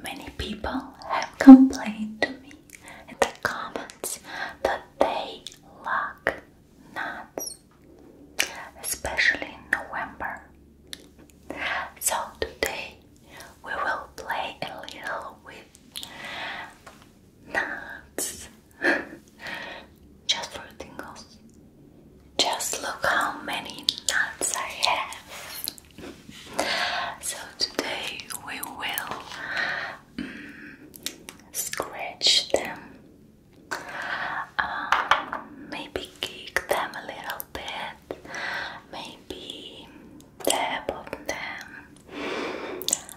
Many people have complained to me in the comments that they lack nuts, especially in November. So today we will play a little with nuts just for tingles. Just look how many nuts I have. So today we will mm, scratch them, um, maybe kick them a little bit, maybe tap on them.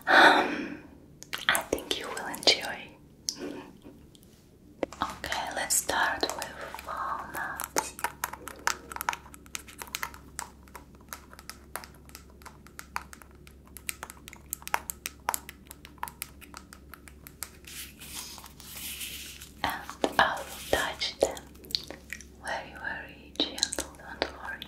Um, I think you will enjoy. Okay, let's start with walnut gloves. And I will touch them very, very gentle, don't worry.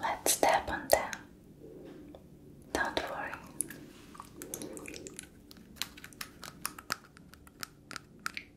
Let's tap on them. Don't worry.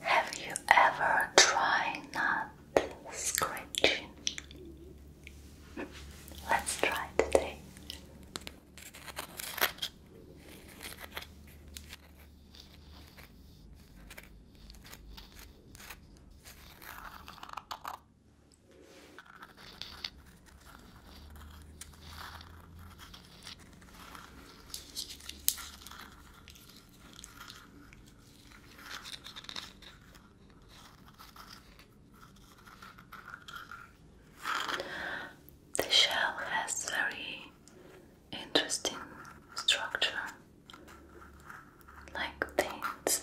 Have you ever tried not scratching? Let's try today. The shell has very interesting structure, like things.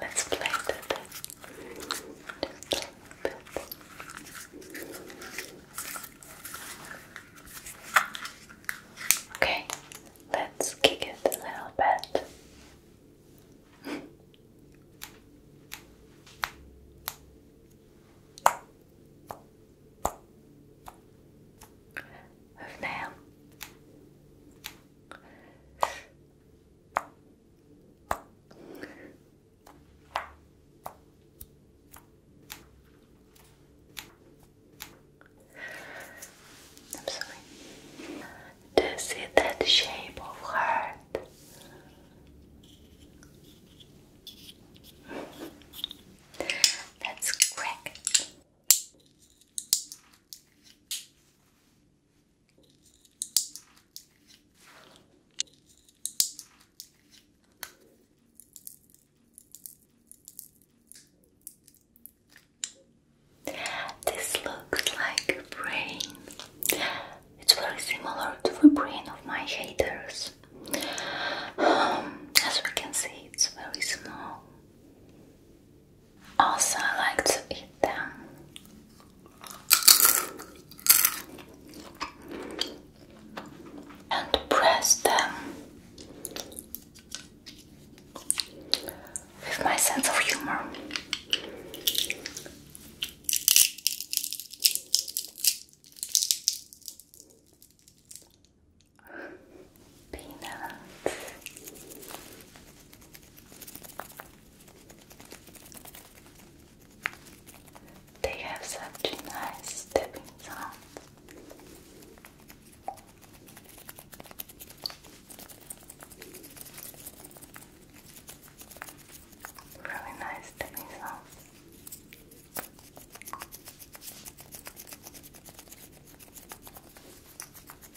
Let's play with it. Okay, let's kick it a little bit. Move now. I'm sorry. Do see that shape of heart? Let's crack this looks like a brain. It's very similar to the brain of my haters. Um, as we can see, it's very small. Also, I like to eat them and press them with my sense of humor. Peanuts. They have such nice stepping sounds. Really nice stepping sounds.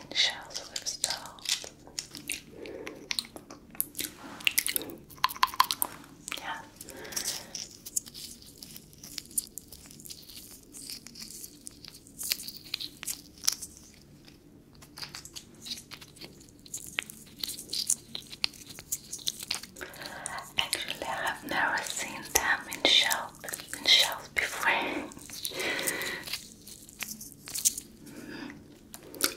and shells we Yeah. Actually, I've never seen them in shells in shells before. Hmm.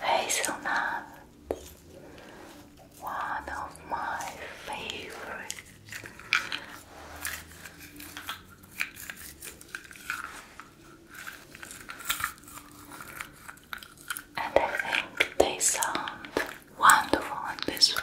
Hazelnut, one of my favorites. And I think they sound wonderful this way.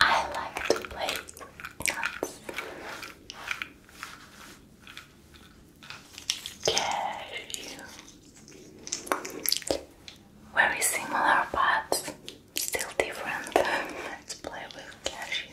I like to play nuts. Very similar but still different. Let's play with cashew.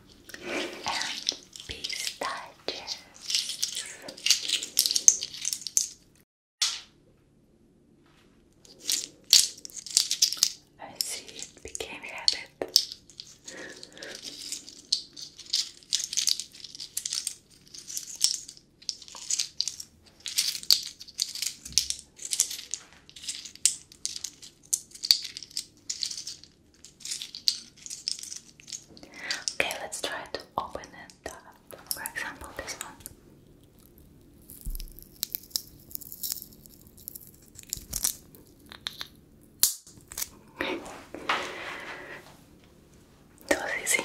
and pistachios. I see it became habit. Okay, let's try to open it. for example, this one. that was easy.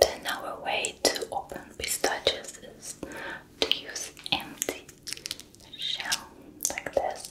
Then way to open pistachios is to use empty shell like this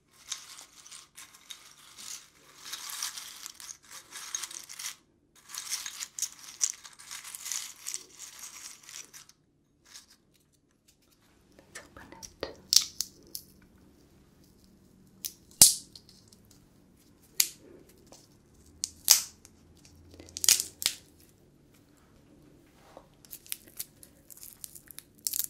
Let's open it.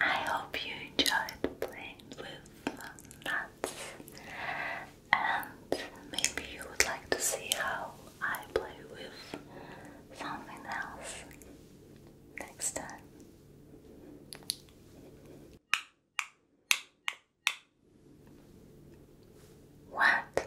I hope you enjoyed playing with nuts and maybe you would like to see how I play with something else next time. What?